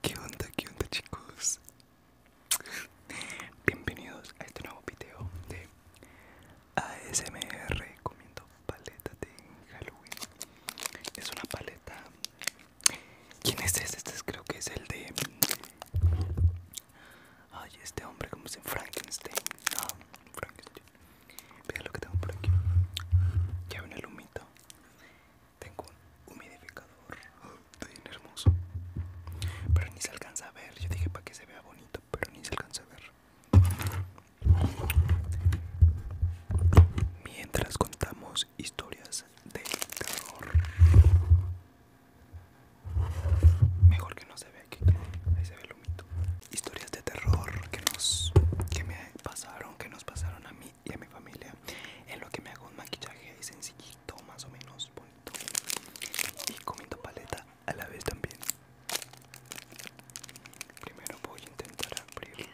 ¿Qué onda? ¿Qué onda chicos? Bienvenidos a este nuevo video de ASMR comiendo paleta de Halloween. Es una paleta... ¿Quién es este? Este creo que es el de... Ay, este hombre como se Frankenstein. No, ah, Frankenstein. Vean lo que tengo por aquí. Ya una el tengo un humidificador tan hermoso. Pero ni se alcanza a ver. Yo dije para que se vea bonito, pero ni se alcanza a ver. Mientras contamos historias de terror. Mejor que no se vea aquí. Ahí se ve el humito. Historias de terror que nos me pasaron, que nos pasaron a mí y a mi familia en lo que me hago un maquillaje sencillito más o menos bonito y comiendo paleta a la vez también primero voy a intentar abrirlo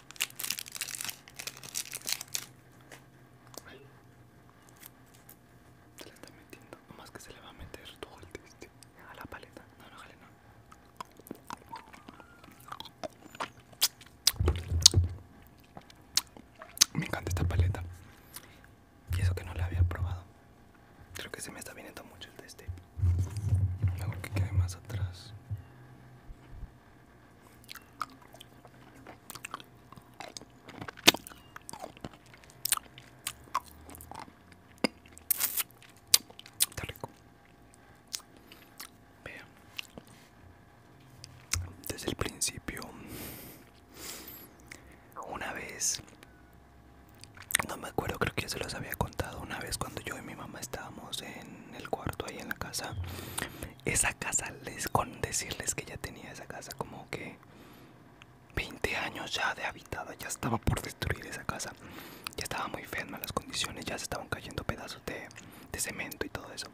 se la está metiendo, nomás que se le va a meter todo el teste a la paleta. No, no, jale, no. Me encanta esta paleta. Y eso que no la había probado. Creo que se me está viniendo mucho el teste. Mejor que quede más atrás. Desde el principio, una vez, no me acuerdo, creo que ya se los había contado, una vez cuando yo y mi mamá estábamos en el cuarto ahí en la casa esa casa les con decirles que ya tenía esa casa como que 20 años ya de habitada ya estaba por destruir esa casa ya estaba muy fea las condiciones ya se estaban cayendo pedazos de cemento y todo eso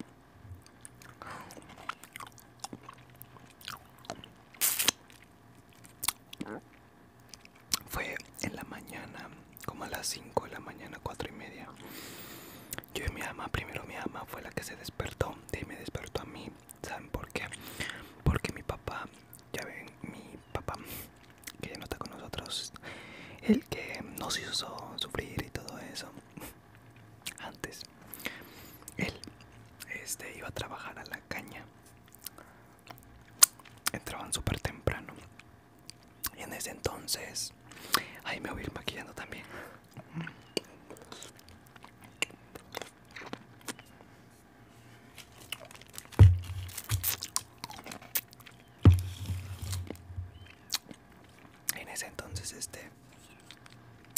fue en la mañana como a las 5 de la mañana, 4 y media. Yo y mi ama, primero mi ama fue la que se despertó y me despertó a mí. ¿Saben por qué? Porque mi papá, ya ven, mi papá, que ya no está con nosotros, el que nos hizo sufrir y todo eso antes, él este, iba a trabajar a la caña. Entraban súper temprano y en ese entonces, ahí me voy a ir maquillando también. En ese entonces este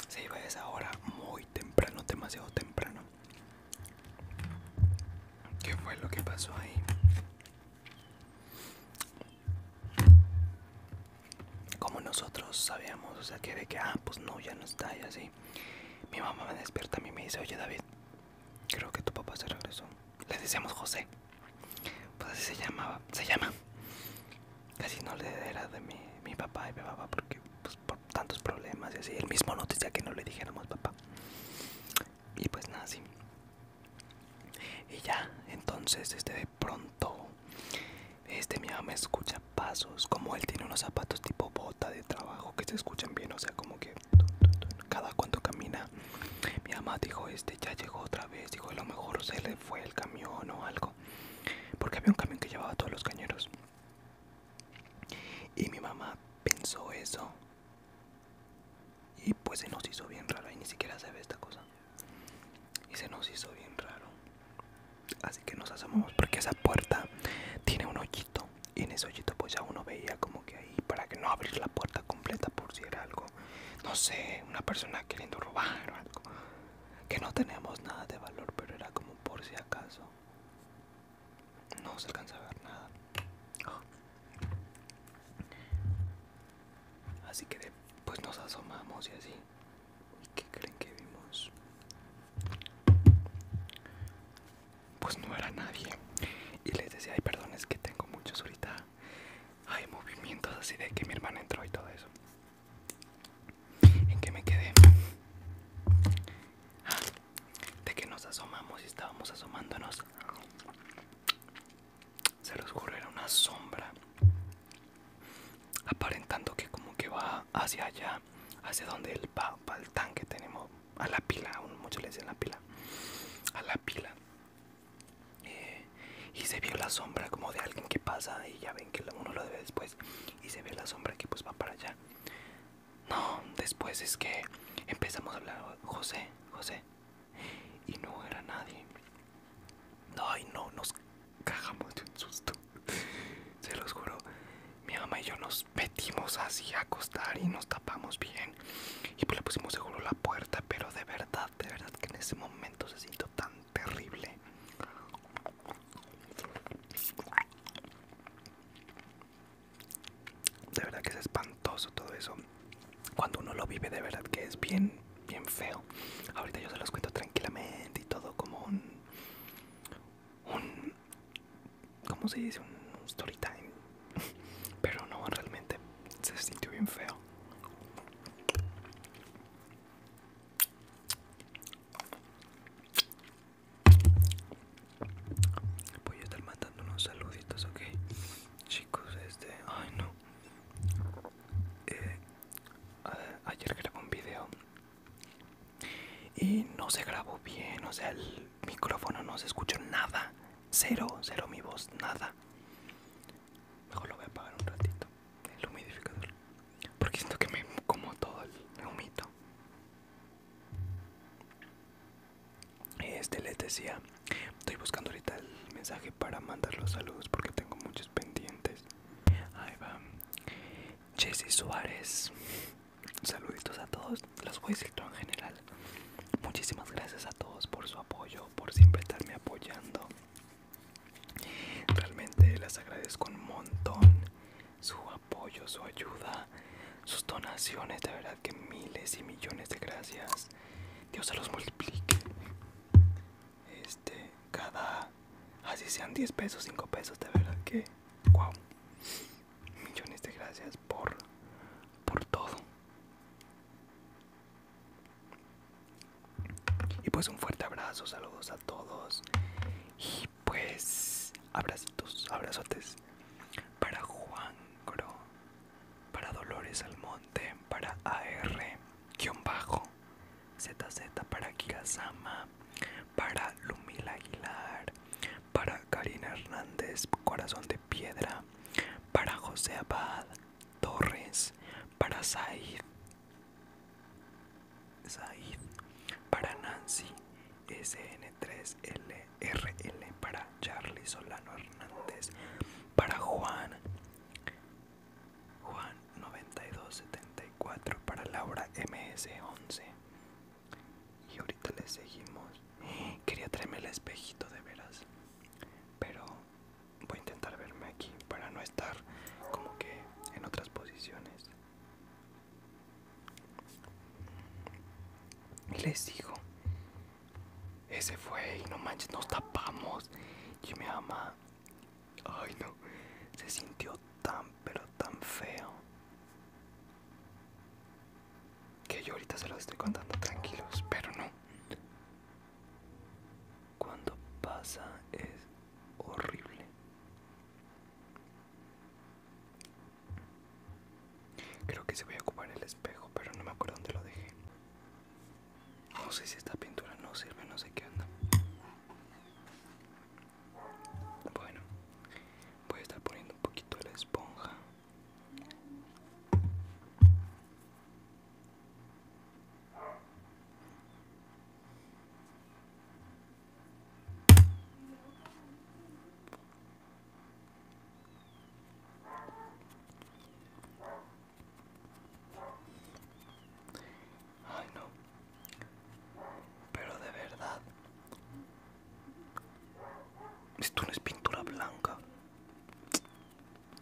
se iba a esa hora muy temprano, demasiado temprano. ¿Qué fue lo que pasó ahí? como nosotros sabíamos, o sea, que de que, ah, pues no, ya no está y así. Mi mamá me despierta a mí y me dice, oye David, creo que tu papá se regresó. Le decíamos José, pues así se llamaba, se llama. Casi no le era de mi, papá y mi papá porque pues, por tantos problemas y así. El mismo noticia decía que no le dijéramos papá y pues nada y ya entonces este de pronto este mi mamá escucha pasos como él tiene unos zapatos tipo bota de trabajo que se escuchan bien o sea como que cada cuanto camina mi mamá dijo este ya llegó otra vez dijo a lo mejor se le fue el camión o algo porque había un camión que llevaba todos los cañeros y mi mamá pensó eso y pues se nos hizo bien raro y ni siquiera se ve esta cosa. Y se nos hizo bien raro. Así que nos asomamos porque esa puerta tiene un hoyito. Y en ese hoyito pues ya uno veía como que ahí para que no abrir la puerta completa por si era algo, no sé, una persona queriendo robar o algo. Que no teníamos nada de valor, pero era como por si acaso. No se alcanza a ver nada. Así que pues nos asomamos y así. ¿Y qué creen que vimos? Pues no era nadie. Y les decía, ay, perdón, es que tengo muchos ahorita. Hay movimientos así de que mi hermana entró y todo eso. ¿En qué me quedé? Ah, de que nos asomamos y estábamos asomándonos se los ocurrió una sombra aparentando que como que va hacia allá hacia donde el va el tanque tenemos a la pila un muchos le dicen la pila a la pila eh, y se vio la sombra como de alguien que pasa y ya ven que uno lo ve después y se ve la sombra que pues va para allá no después es que empezamos a hablar José José y no era nadie. Ay, no, nos cagamos de un susto. Se los juro, mi mamá y yo nos metimos así a acostar y nos tapamos bien. Y pues le pusimos seguro la puerta, pero de verdad, de verdad que en ese momento se sintió tan terrible de verdad que es espantoso todo eso. Cuando uno lo vive, de verdad que es bien, bien feo. Ahorita yo se los cuento tranquilamente y todo como un. un ¿Cómo se dice? Un story time. Pero no, realmente se sintió bien feo. Voy a estar mandando unos saluditos, ok este, ay no eh, Ayer grabé un video Y no se grabó bien, o sea, el micrófono no se escuchó nada Cero, cero mi voz, nada Mejor lo voy a apagar un ratito, el humidificador Porque siento que me como todo el humito este les decía, estoy buscando ahorita el mensaje para mandar los saludos porque tengo muchos pendientes. Ahí va. Jesse Suárez. Saluditos a todos. Los voy a en general. Muchísimas gracias a todos por su apoyo, por siempre estarme apoyando. Realmente las agradezco un montón su apoyo, su ayuda, sus donaciones. De verdad que miles y millones de gracias. Dios se los multiplique. Este, cada, así ah, sean 10 pesos, 5 pesos, de verdad que, wow. Millones de gracias por, por todo. Y pues un fuerte abrazo, saludos a todos. Y pues abracitos, abrazotes para Juan Gro para Dolores Almonte, para AR-Bajo, ZZ para Zama, para Lumila Aguilar, para Karina Hernández, Corazón de Piedra, para José Abad, Torres, para Zaid, Said, para Nancy, SN3L, RL para Charlie Solano Hernández, para Juan, Juan 9274, para Laura MS11. Y ahorita les seguimos. Quería traerme el espejito de veras, pero voy a intentar verme aquí para no estar como que en otras posiciones. les digo, ese fue y no manches, nos tapamos. Y mi mamá, ay no, se sintió tan, pero tan feo. Que yo ahorita se los estoy contando tranquilos, pero no. Cuando pasa es horrible. Creo que se voy a ocupar el espejo, pero no me acuerdo dónde lo dejé. No sé si esta pintura no sirve, no sé qué onda. Bueno, voy a estar poniendo un poquito de la esponja. Ay, no. Pero de verdad. Esto no es pintura blanca.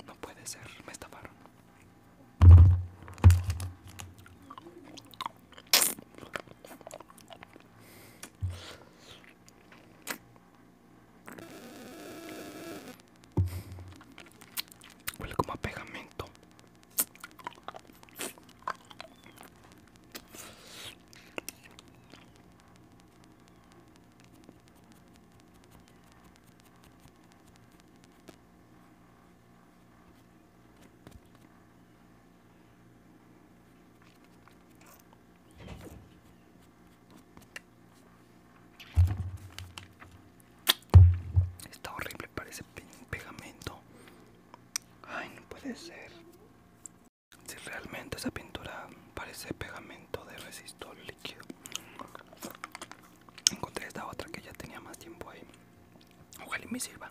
No puede ser, me estafaron. Huele como a pegamento. Está horrible, parece pegamento. Ay, no puede ser. Si realmente esa pintura parece pegamento de resistor líquido. Encontré esta otra que ya tenía más tiempo ahí. Ojalá y me sirva.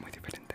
Muy diferente.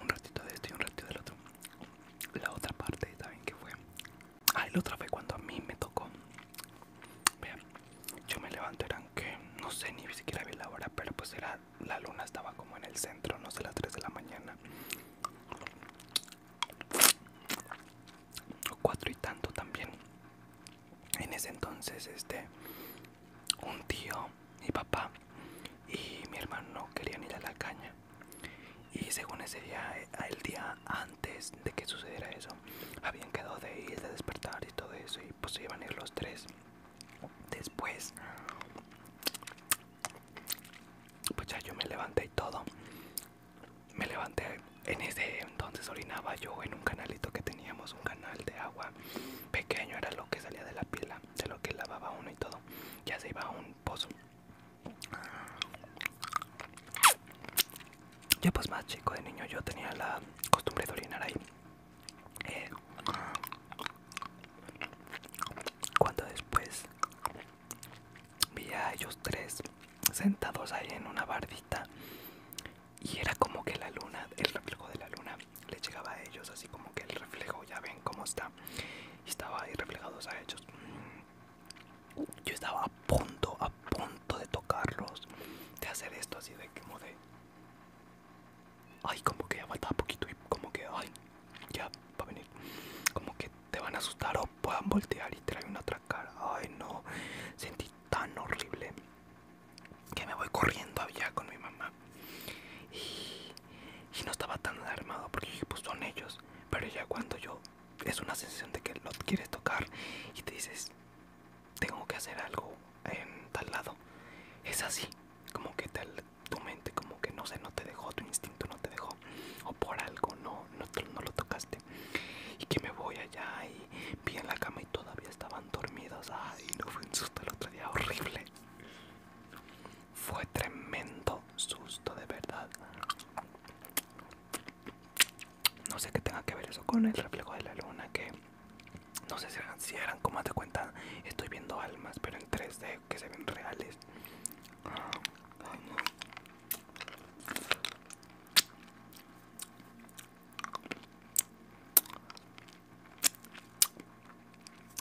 Un ratito de esto y un ratito del otro. La otra parte también que fue. Ah, la otra fue cuando a mí me tocó. Vean, yo me levanto, eran que no sé ni siquiera vi la hora, pero pues era la luna estaba como en el centro, no sé, las 3 de la mañana. o Cuatro y tanto también. En ese entonces, este, un tío, mi papá y mi hermano querían ir a la caña. Y según ese día, eh, el día antes de que sucediera eso, habían quedado de ir, de despertar y todo eso. Y pues se iban a ir los tres. Después, pues ya yo me levanté y todo. Me levanté, en ese entonces orinaba yo en un canalito que teníamos, un canal de agua pequeño, era lo que salía de la pila, de lo que lavaba uno y todo. Ya se iba a un pozo. Yo pues más chico de niño yo tenía la costumbre de orinar ahí eh, cuando después vi a ellos tres sentados ahí en una bardita y era como que la luna, el reflejo de la luna le llegaba a ellos, así como que el reflejo, ya ven cómo está, estaba ahí reflejados a ellos. Yo estaba a punto, a punto de tocarlos, de hacer esto así de como de ay, como que ya faltaba poquito y como que, ay, ya va a venir. Como que te van a asustar o puedan voltear y traer una otra cara. Ay, no, sentí tan horrible que me voy corriendo allá con mi mamá. Y, no estaba tan alarmado porque pues son ellos. Pero ya cuando yo, es una sensación de que no quieres tocar y te dices, tengo que hacer algo en tal lado. Es así, como que te, tu mente como que no sé, no te dejó, tu instinto no te dejó o por algo no, no, lo tocaste y que me voy allá y vi en la cama y todavía estaban dormidos, ay no fue un susto el otro día horrible fue tremendo susto de verdad no sé qué tenga que ver eso con el reflejo de la luna que no sé si eran, como te cuenta estoy viendo almas pero en 3D que se ven reales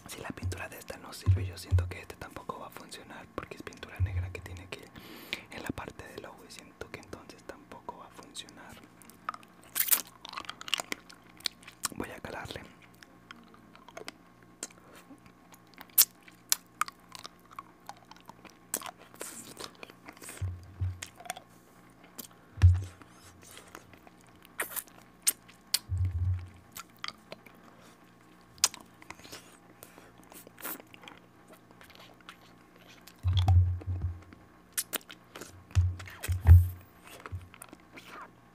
Si la pintura de esta no sirve, yo siento que este tampoco va a funcionar porque es pintura negra que tiene que en la parte del ojo y siento que entonces tampoco va a funcionar. Voy a calarle.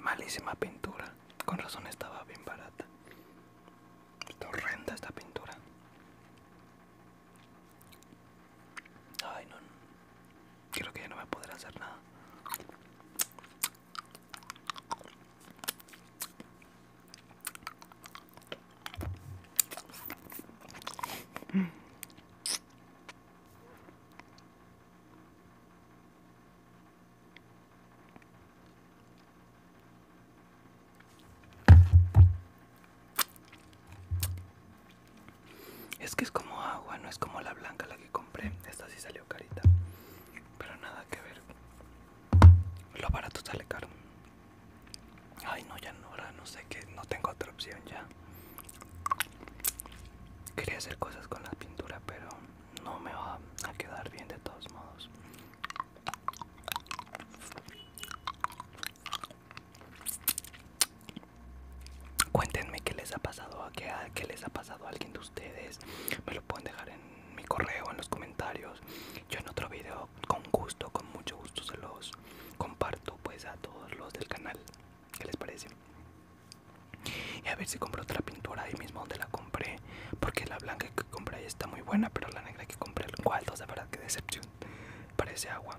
Malísima pintura. Con razón estaba bien barata. Está horrenda esta pintura. Ay, no. Creo que ya no voy a poder hacer nada. Es que es como agua, no es como la blanca la que compré. Esta sí salió carita. Pero nada que ver. Lo barato sale caro. Ay, no, ya no, ahora no sé qué, no tengo otra opción ya. Quería hacer cosas con la pintura, pero no me va a quedar bien de todos modos. Cuéntenme qué les ha pasado, a qué, qué les ha pasado a alguien de ustedes. Me lo pueden dejar en mi correo en los comentarios yo en otro video con gusto con mucho gusto se los comparto pues a todos los del canal que les parece? Y a ver si compro otra pintura ahí mismo donde la compré porque la blanca que compré ahí está muy buena pero la negra que compré el dos, de verdad que decepción parece agua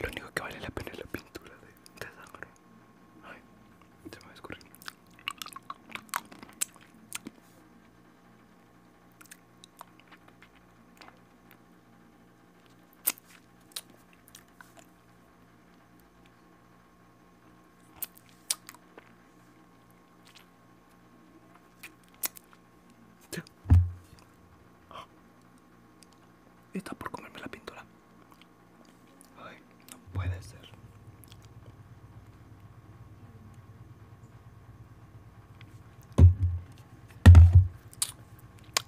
Lo único que vale la pena es la pintura de, sangre. Ay, se va a escurrir. Está por comerme la pintura. Ay, no puede ser.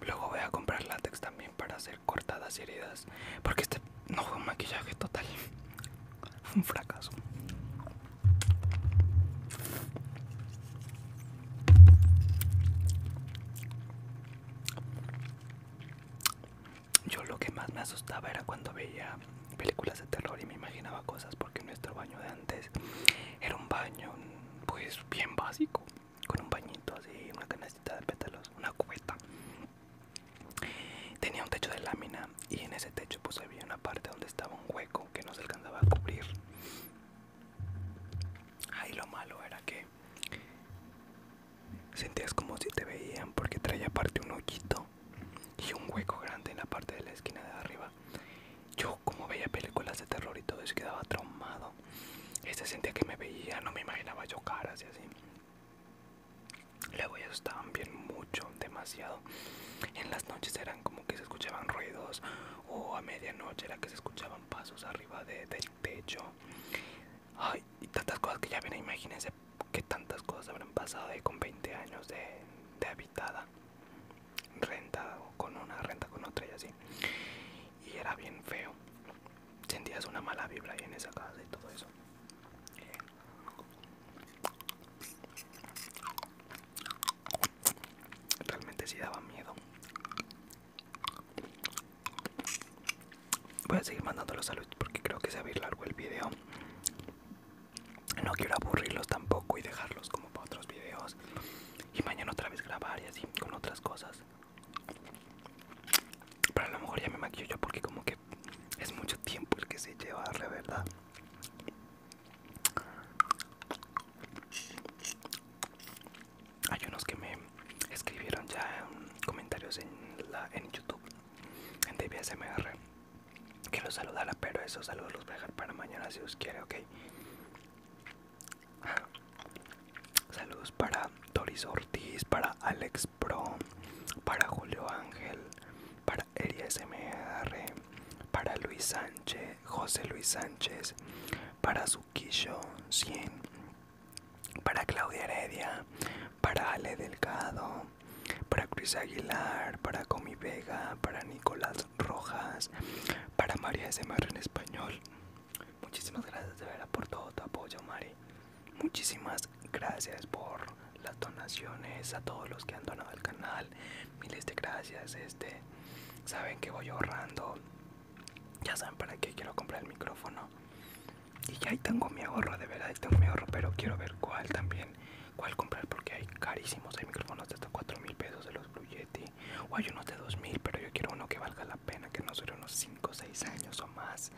Luego voy a comprar látex también para hacer cortadas y heridas. Porque este no fue un maquillaje total. un fracaso. Yo lo que más me asustaba era cuando veía películas de terror y me imaginaba cosas porque nuestro baño de antes era un baño pues bien básico, con un bañito así, una canastita de pétalos, una cubeta. Tenía un techo de lámina y en ese techo pues había una parte donde estaba un hueco que no se alcanzaba a cubrir. Ahí lo malo era que sentías como si te veían porque traía aparte un hoyito y un hueco grande en la parte de la esquina de arriba. Yo como veía películas de terror y todo eso quedaba traumado. Este sentía que me veía, no me imaginaba yo caras y así. Luego ellos estaban bien mucho, demasiado. En las noches eran como que se escuchaban ruidos o a medianoche era que se escuchaban pasos arriba de, del techo. y tantas cosas que ya ven, imagínense que tantas cosas habrán pasado ahí con 20 años de, habitada, renta o con una, renta con otra y así. Y era bien feo. Sentías una mala vibra ahí en esa casa y todo eso. Realmente si daba miedo. Voy a seguir mandándolos saludos porque creo que se va a ir largo el video. No quiero aburrirlos tampoco y dejarlos como para otros videos. Y mañana otra vez grabar y así con otras cosas. Pero a lo mejor ya me maquillo yo porque como que es mucho tiempo el que se lleva de verdad hay unos que me escribieron ya comentarios en, la, en YouTube, en DBSMR, que los saludara, pero esos saludos los voy a dejar para mañana si os quiere, ok. Ah, saludos para Doris Ortiz, para Alex Pro, para Julio Ángel, para EriasMR, para Luis Sánchez, José Luis Sánchez, para kisho 100, para Claudia Heredia, para Ale Delgado, para Cruz Aguilar, para Comi Vega, para Nicolás Rojas, para María Marra en español. Muchísimas gracias de verdad por todo tu apoyo, Mari. Muchísimas gracias por las donaciones a todos los que han donado al canal. Miles de gracias. Este, saben que voy ahorrando ya saben para qué quiero comprar el micrófono y ya ahí tengo mi ahorro de verdad ahí tengo mi ahorro pero quiero ver cuál también cuál comprar porque hay carísimos hay micrófonos de hasta 4 mil pesos de los Blue Yeti o hay unos de 2 mil pero yo quiero uno que valga la pena que no dure unos 5 o 6 años o más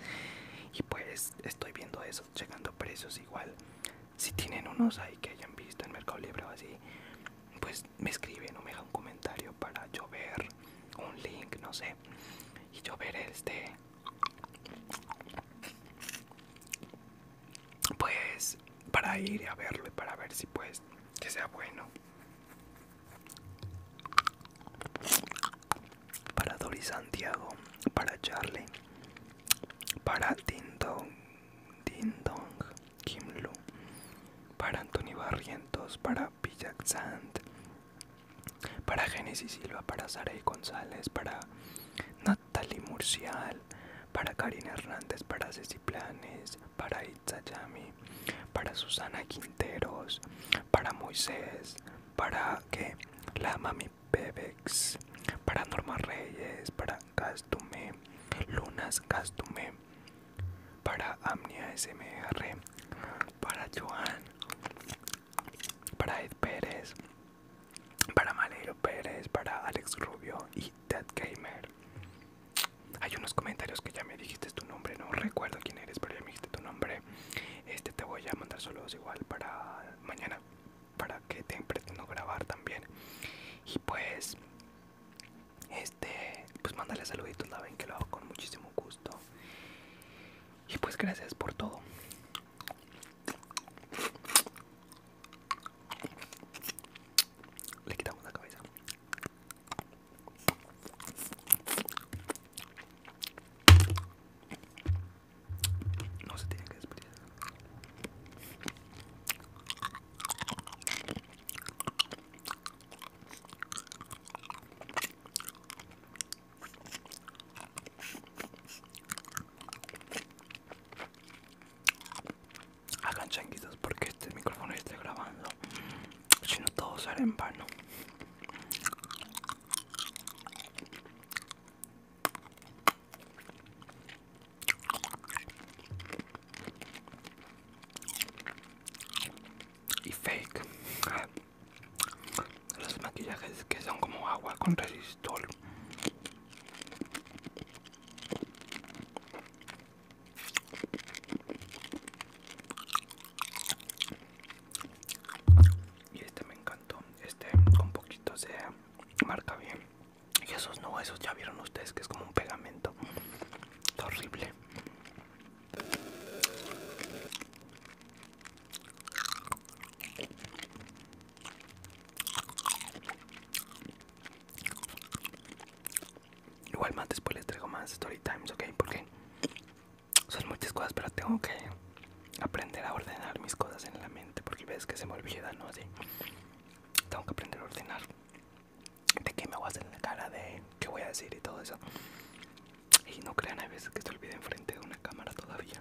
y pues estoy viendo eso llegando precios igual si tienen unos ahí que hayan visto en Mercado Libre o así pues me escriben o me dejan un comentario para yo ver un link, no sé, y yo este, pues para ir a verlo y para ver si pues que sea bueno. Para Doris Santiago, para Charlie, para Tinto Ding Dong, Kim Lu, para Anthony Barrientos, para Pillac para Genesis Silva, para Sarey González, para Natalie Murcial, para Karina Hernández, para Ceci Planes, para Itzayami, para Susana Quinteros, para Moisés, para que la Mami Bebex, para Norma Reyes, para Castume, Lunas Castume, para Amnia SMR, para Joan, para Ed Pérez, para Malero Pérez, para Alex Rubio y Ted Gamer. Hay unos comentarios que ya me dijiste tu nombre, no recuerdo quién eres, pero ya me dijiste tu nombre. Este te voy a mandar saludos igual para mañana, para que te pretendo grabar también. Y pues este, pues mándale saluditos, la ven que lo hago con muchísimo gusto. Y pues gracias por todo. Le quitamos la cabeza. No se tiene que despedir. Hagan changuitos porque este micrófono está grabando, si no todo sale en vano y fake los maquillajes que son como agua con resistol y este me encantó este con poquito se marca bien y esos no, esos ya vieron ustedes que es como un pegamento. horrible. Igual más después les traigo más story times, ok, porque son muchas cosas, pero tengo que aprender a ordenar mis cosas en la mente, porque ves que se me olvida, ¿no? Así. Tengo que aprender a ordenar de qué me voy a hacer en la cara, de qué voy a decir y todo eso. Y no crean, hay veces que se olvida enfrente de una cámara todavía.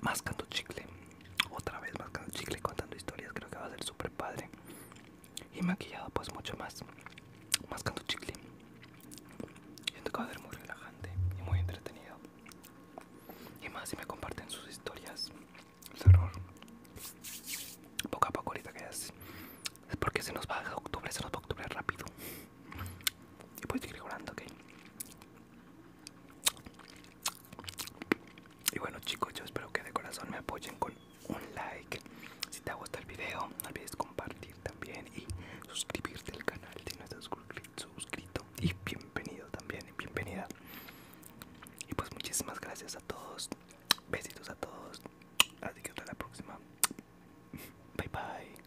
mascando chicle otra vez mascando chicle contando historias creo que va a ser super padre y maquillado pues mucho más mascando chicle siento que va a ser muy relajante y muy entretenido y más si me comparten sus historias el terror poco a poco ahorita que es es porque se nos va a octubre se nos va a octubre rápido y pues seguir jurando que y bueno chicos, yo espero que de corazón me apoyen con un like. Si te gusta el video, no olvides compartir también y suscribirte al canal si no estás suscrito. Y bienvenido también, bienvenida. Y pues muchísimas gracias a todos. Besitos a todos. Así que hasta la próxima. Bye bye.